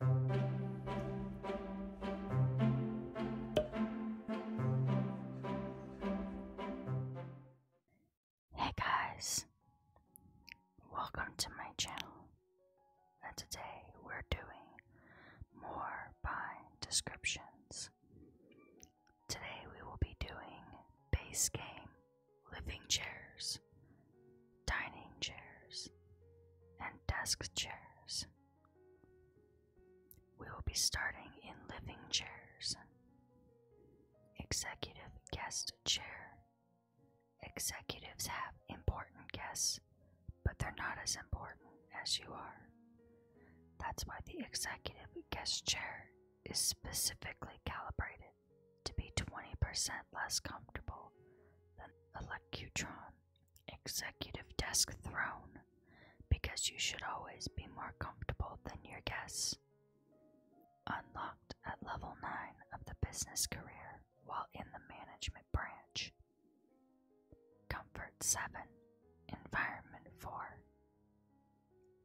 Hey guys, welcome to my channel, and today we're doing more by descriptions. Today we will be doing base game living chairs dining chairs, and desk chairs. We will be starting in living chairs, executive guest chair. Executives have important guests, but they're not as important as you are. That's why the executive guest chair is specifically calibrated to be 20% less comfortable than Lectron executive desk throne because you should always be more comfortable than your guests. Unlocked at level 9 of the business career while in the management branch. Comfort 7, Environment 4.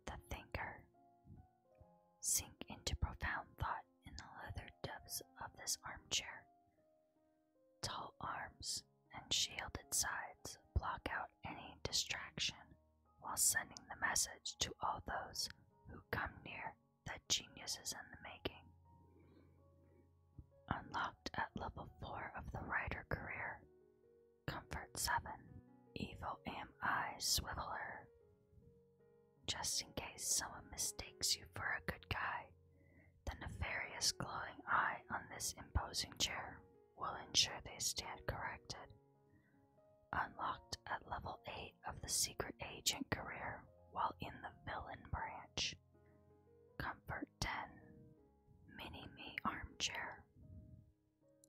The Thinker. Sink into profound thought in the leather depths of this armchair Tall arms and shielded sides block out any distraction while sending the message to all those who come near that genius is in the making. Unlocked at level 4 of the Rider career, Comfort 7, Evil Am I swiveller just in case someone mistakes you for a good guy. The nefarious glowing eye on this imposing chair will ensure they stand corrected. Unlocked at level 8 of the secret agent career while in the villain branch. Comfort 10 Mini Me Armchair.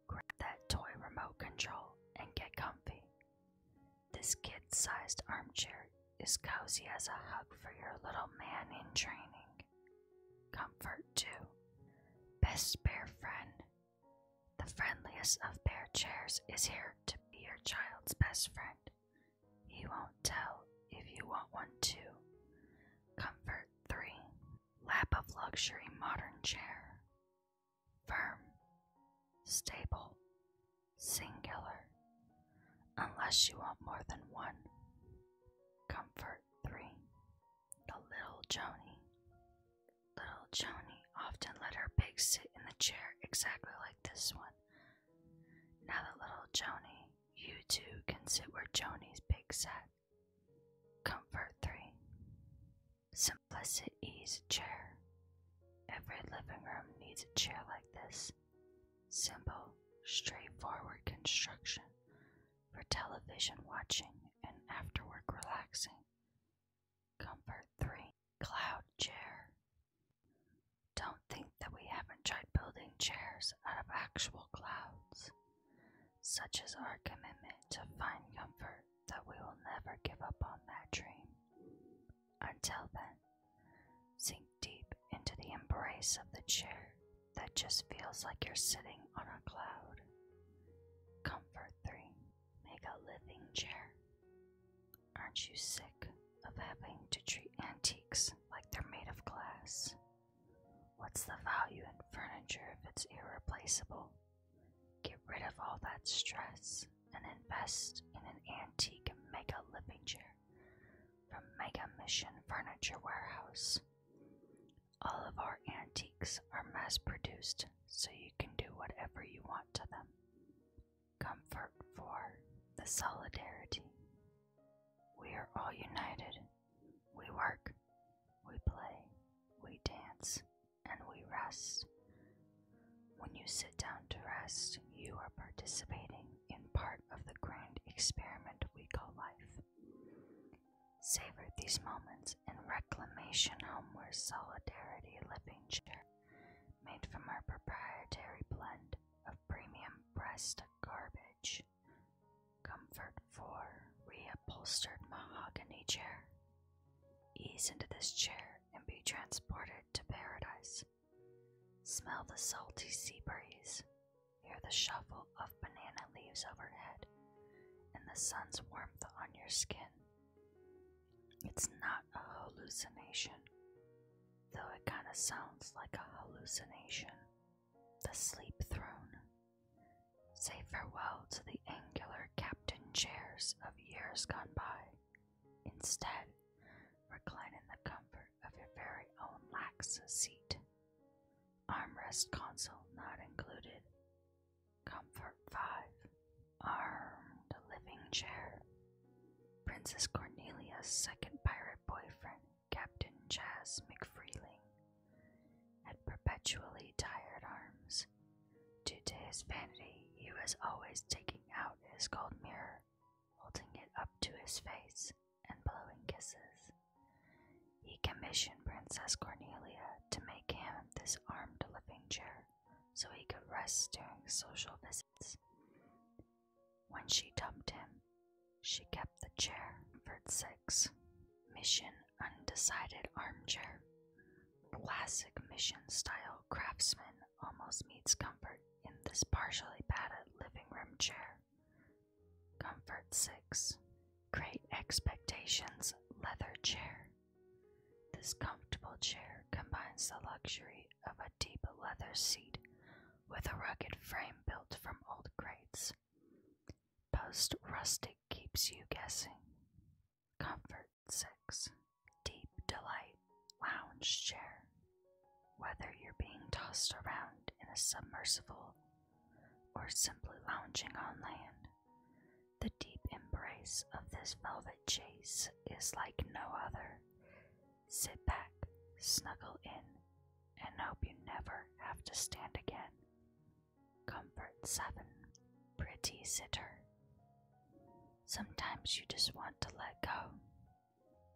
Grab that toy remote control and get comfy. This kid sized armchair is cozy as a hug for your little man in training. Comfort, two, Best bear friend. The friendliest of bear chairs is here to be your child's best friend. He won't tell if you want one, too. Comfort 3. Lap of luxury modern chair. Firm. Stable singular, unless you want more than one. Comfort 3. The little Joni. Little Joni often let her pig sit in the chair exactly like this one. Now the little Joni, you too can sit where Joni's pig sat. Comfort 3. Simplicity is chair. Every living room needs a chair like this. Simple, straightforward construction for television watching and afterward relaxing. Comfort 3. Cloud chair. Don't think that we haven't tried building chairs out of actual clouds. Such is our commitment to find comfort that we will never give up on that dream. Until then, sink deep into the embrace of the chair that just feels like you're sitting on a cloud. Comfort 3. Make a living chair. Aren't you sick of having to treat antiques like they're made of glass? What's the value in furniture if it's irreplaceable? Get rid of all that stress and invest in an antique make a Living Chair from Mega Mission Furniture Warehouse. All of our antiques are mass produced, so you can do whatever you want to them. Comfort for the solidarity. We are all united. We work, we play, we dance, and we rest. When you sit down to rest, you are participating in part of the grand experiment we call life. Savor these moments in reclamation homeward solidarity living chair, made from our proprietary blend of premium pressed garbage. Comfort for reupholstered mahogany chair. Ease into this chair and be transported to paradise. Smell the salty sea breeze, hear the shuffle of banana leaves overhead, and the sun's warmth on your skin. It's not a hallucination, though it kinda sounds like a hallucination. The sleep throne. Say farewell to the angular captain chairs of years gone by. Instead, recline in the comfort of your very own lax seat. Armrest console not included. Comfort 5. Armed living chair. Princess Cornelia's second pirate boyfriend, Captain Chas McFreeling, had perpetually tired arms. Due to his vanity, he was always taking out his gold mirror holding it up to his face and blowing kisses. He commissioned Princess Cornelia to make him this armed living chair so he could rest during social visits. When she dumped him, she kept the chair for six. Mission Undecided Armchair. Classic mission style craftsman almost meets comfort in this partially padded living room chair. Comfort 6. Great Expectations Leather Chair. This comfortable chair combines the luxury of a deep leather seat with a rugged frame built from old crates. Post rustic keeps you guessing. Comfort 6. Deep Delight lounge chair. Whether you're being tossed around in a submersible or simply lounging on land, the deep embrace of this velvet chase is like no other. Sit back, snuggle in, and hope you never have to stand again. Comfort 7. Pretty Sitter. Sometimes you just want to let go,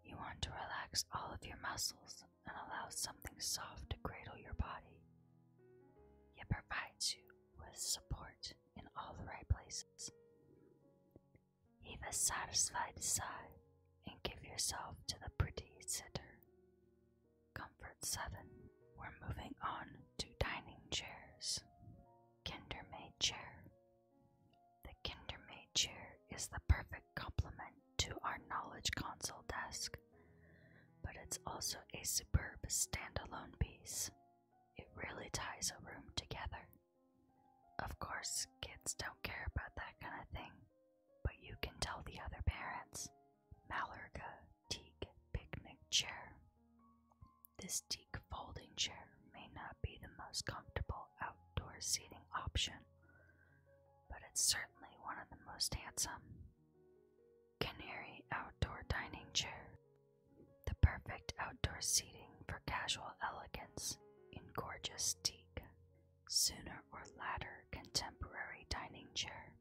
you want to relax all of your muscles and allow something soft to cradle your body. It provides you with support in all the right places. Heave a satisfied sigh and give yourself to the pretty sitter. Comfort 7. We're moving on to dining chairs. Kindermaid chair the Kindermaid chair is the perfect complement to our knowledge console desk, but it's also a superb standalone piece. It really ties a room together. Of course, kids don't care about that kind of thing, but you can tell the other parents. Malarga teak picnic chair. This teak folding chair may not be the most comfortable outdoor seating option, but it's certainly one of the most handsome. Canary outdoor dining chair. The perfect outdoor seating for casual elegance in gorgeous teak. Sooner or latter, contemporary dining chair.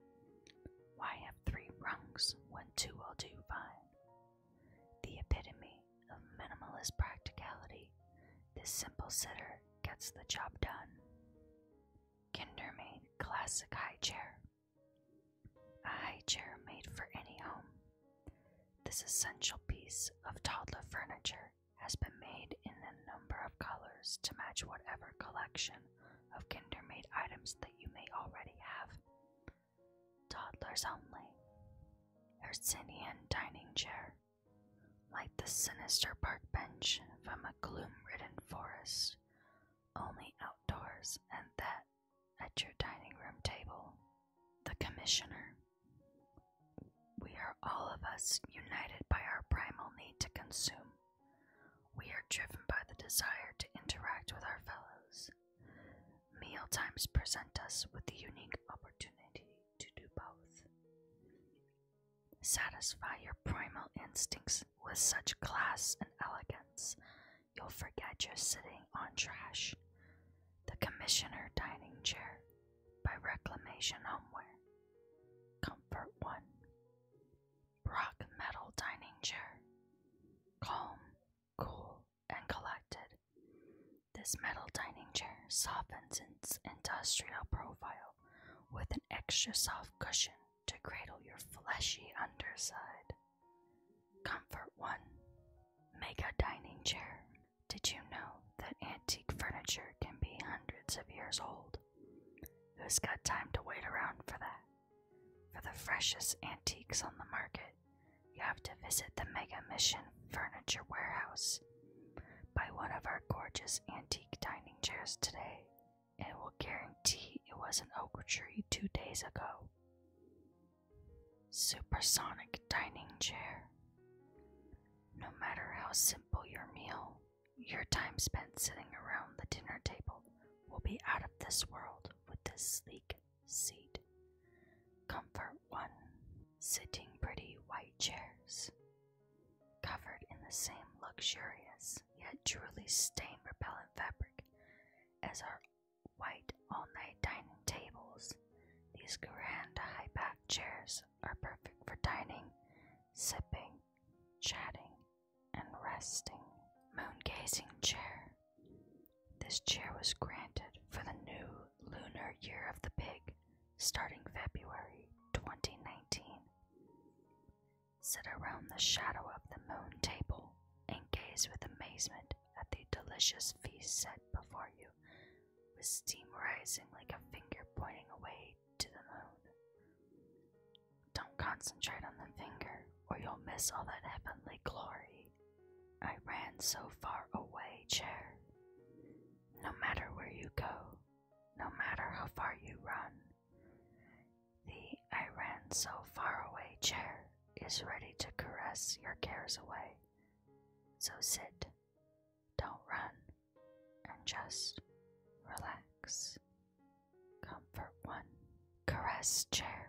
Why have three rungs when two will do fine? The epitome of minimalist practicality, this simple sitter gets the job done. Kinder classic high chair. A high chair made for any home. This essential piece of toddler furniture has been made in a number of colors to match whatever collection of Kinder items that you may already have. Toddlers only. Hercinian dining chair. Like the sinister park bench from a gloom ridden forest, only outdoors and that at your dining room table. The Commissioner. We are all of us united by our primal need to consume. We are driven by the desire to interact with our fellows. Mealtimes present us with the unique opportunity to do both. Satisfy your primal instincts with such class and elegance, you'll forget you're sitting on trash. The Commissioner Dining Chair by Reclamation Homeware. Comfort 1. Rock Metal Dining Chair. Calm, cool, and collected. This metal dining chair softens its industrial profile with an extra soft cushion to cradle your fleshy underside. Comfort 1 Mega Dining Chair. Did you know that antique furniture can be hundreds of years old? Who's got time to wait around for that? For the freshest antiques on the market, you have to visit the Mega Mission Furniture Warehouse. Buy one of our gorgeous antique dining chairs today, and we'll guarantee it was an oak tree two days ago. Supersonic Dining Chair. No matter how simple your meal, your time spent sitting around the dinner table will be out of this world with this sleek seat Comfort 1 Sitting pretty white chairs, covered in the same luxurious yet truly stain repellent fabric as our white all night dining tables. These grand high back chairs are perfect for dining, sipping, chatting, and resting. Moon gazing chair. This chair was granted for the new Lunar Year of the Pig, starting February 2019. Sit around the shadow of the moon table and gaze with amazement at the delicious feast set before you, with steam rising like a finger pointing away to the moon. Don't concentrate on the finger, or you'll miss all that heavenly glory. I ran so far away, chair. No matter where you go, no matter how far you run, the I ran so far away chair is ready to caress your cares away. So sit, don't run, and just relax. Comfort one, caress chair.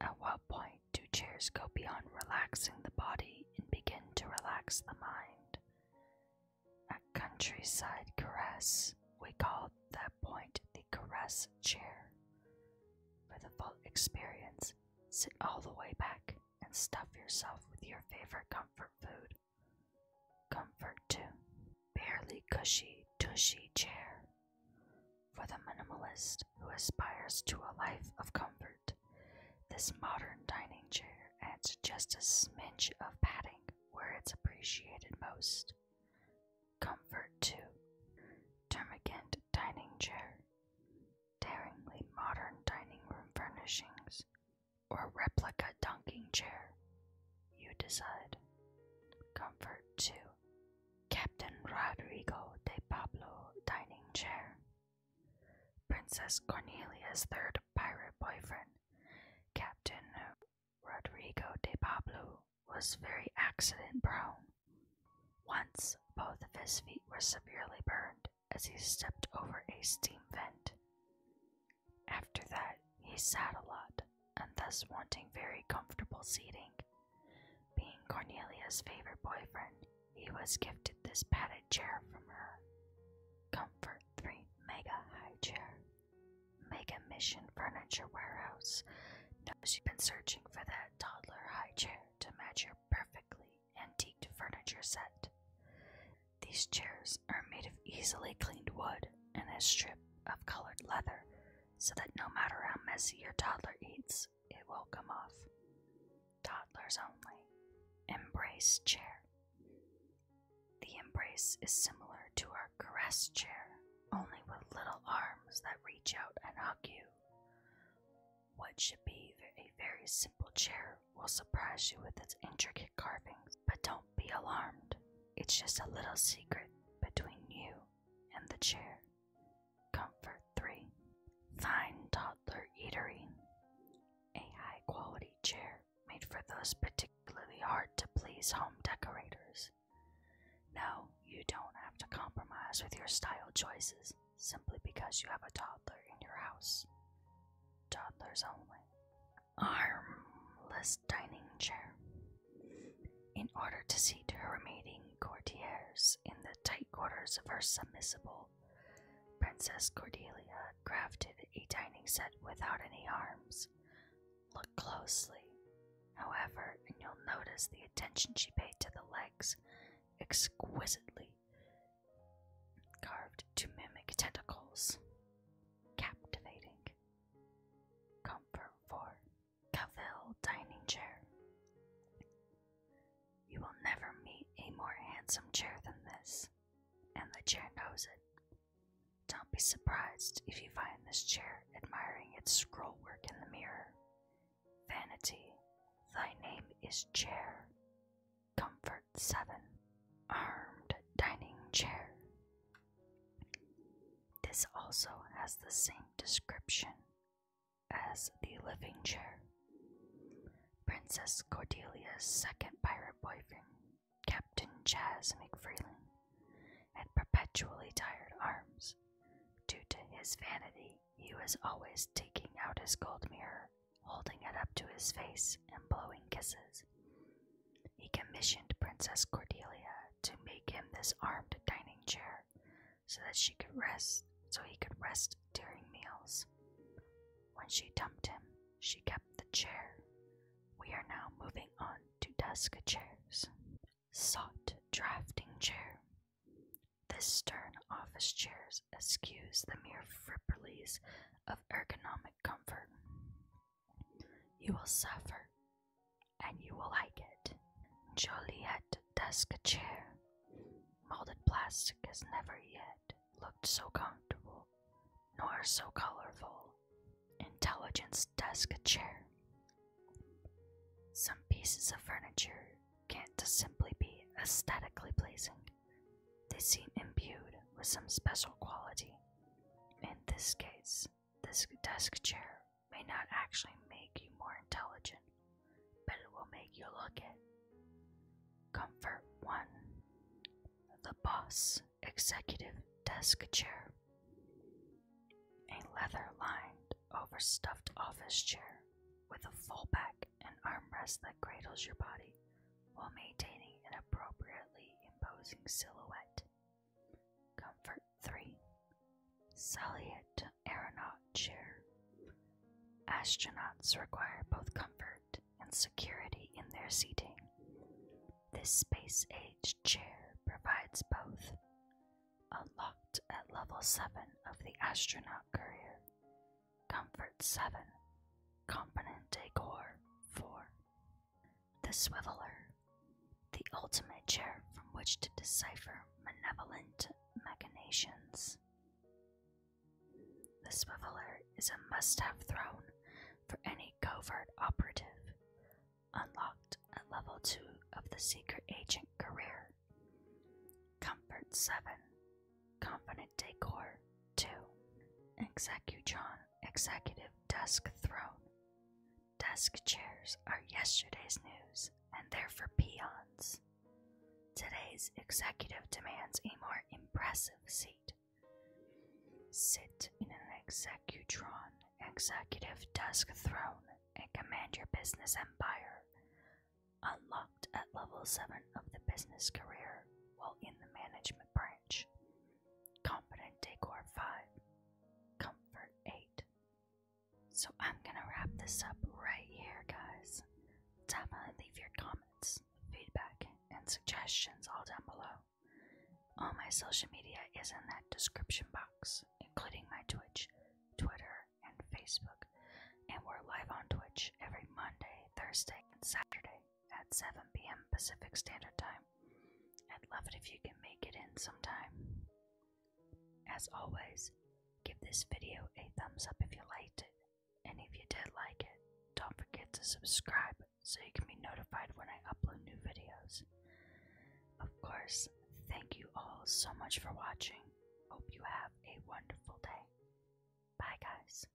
At what point do chairs go beyond relaxing the body and begin to relax the mind? A Countryside Caress, we call that point the caress chair. For the full experience, sit all the way back and stuff yourself with your favorite comfort food. Comfort too, Barely cushy, tushy chair. For the minimalist who aspires to a life of comfort this modern dining chair adds just a smidge of padding where it's appreciated most. Comfort 2. Termagant Dining Chair. Daringly modern dining room furnishings or replica dunking chair. You decide. Comfort 2. Captain Rodrigo de Pablo Dining Chair. Princess Cornelia's third pirate boyfriend, Captain Rodrigo de Pablo, was very accident prone. Once, both of his feet were severely burned as he stepped over a steam vent. After that, he sat a lot, and thus wanting very comfortable seating. Being Cornelia's favorite boyfriend, he was gifted this padded chair from her. Comfort 3 Mega High Chair. Mega Mission Furniture Warehouse knows you've been searching for that toddler high chair to match your perfectly antiqued furniture set. These chairs are made of easily cleaned wood and a strip of colored leather so that no matter how messy your toddler eats, it will come off. Toddlers only. Embrace chair. The embrace is similar to our caress chair, only with little arms that reach out and hug you. What should be a very simple chair will surprise you with its intricate carvings, but don't be alarmed. It's just a little secret between you and the chair. Comfort 3. Fine toddler eatery. A high quality chair made for those particularly hard to please home decorators. No, you don't have to compromise with your style choices simply because you have a toddler in your house. Toddlers only. Armless dining chair. In order to seat her remaining courtiers in the tight quarters of her submissible Princess Cordelia crafted a dining set without any arms. Look closely, however, and you'll notice the attention she paid to the legs, exquisitely carved to mimic tentacles. Captivating. Comfort 4. Cavil Dining Chair. You will never meet a more handsome chair than this, and the chair knows it. Don't be surprised if you find this chair admiring its scrollwork in the mirror. Vanity, thy name is chair. Comfort 7. Armed dining chair. This also has the same description as the living chair. Princess Cordelia's second pirate boyfriend, Captain Chas McFreeland, had perpetually tired arms. Due to his vanity, he was always taking out his gold mirror, holding it up to his face, and blowing kisses. He commissioned Princess Cordelia to make him this armed dining chair so that she could rest, so he could rest during meals. When she dumped him, she kept the chair. We are now moving on to desk chairs. soft drafting chair. The stern office chairs eschews the mere fripperies of ergonomic comfort. You will suffer, and you will like it. Joliette desk chair. Molded plastic has never yet looked so comfortable, nor so colorful. Intelligence desk chair. Some pieces of furniture can't simply be aesthetically pleasing. They seem imbued with some special quality. In this case, this desk chair may not actually make you more intelligent, but it will make you look it. Comfort 1 The Boss Executive Desk Chair. A leather lined, overstuffed office chair with a full back and armrest that cradles your body while maintaining an appropriately imposing silhouette. Comfort 3 Salient aeronaut chair. Astronauts require both comfort and security in their seating. This space age chair provides both. Unlocked at level 7 of the astronaut career. Comfort 7. component decor 4. The Swiveler. The ultimate chair from which to decipher malevolent machinations. The swiveler is a must have thrown for any covert operative, unlocked at level 2 of the secret agent career. Comfort 7, Confident Decor 2, Executron Executive Desk Throne. Desk chairs are yesterday's news and they're for peons. Today's executive demands a more impressive seat. Sit in an executron, executive desk throne, and command your business empire. Unlocked at level 7 of the business career while in the management branch. Confident Decor 5. Comfort 8. So I'm gonna wrap this up right here, guys. Tama, leave your comments, feedback, and suggestions all down below. All my social media is in that description box, including my Twitch, Twitter, and Facebook. And we're live on Twitch every Monday, Thursday, and Saturday at 7 p.m. Pacific Standard Time. I'd love it if you can make it in sometime. As always, give this video a thumbs up if you liked it and if you did like it, don't forget to subscribe so you can be notified when I upload new videos. Of course, thank you all so much for watching. Hope you have a wonderful day. Bye, guys.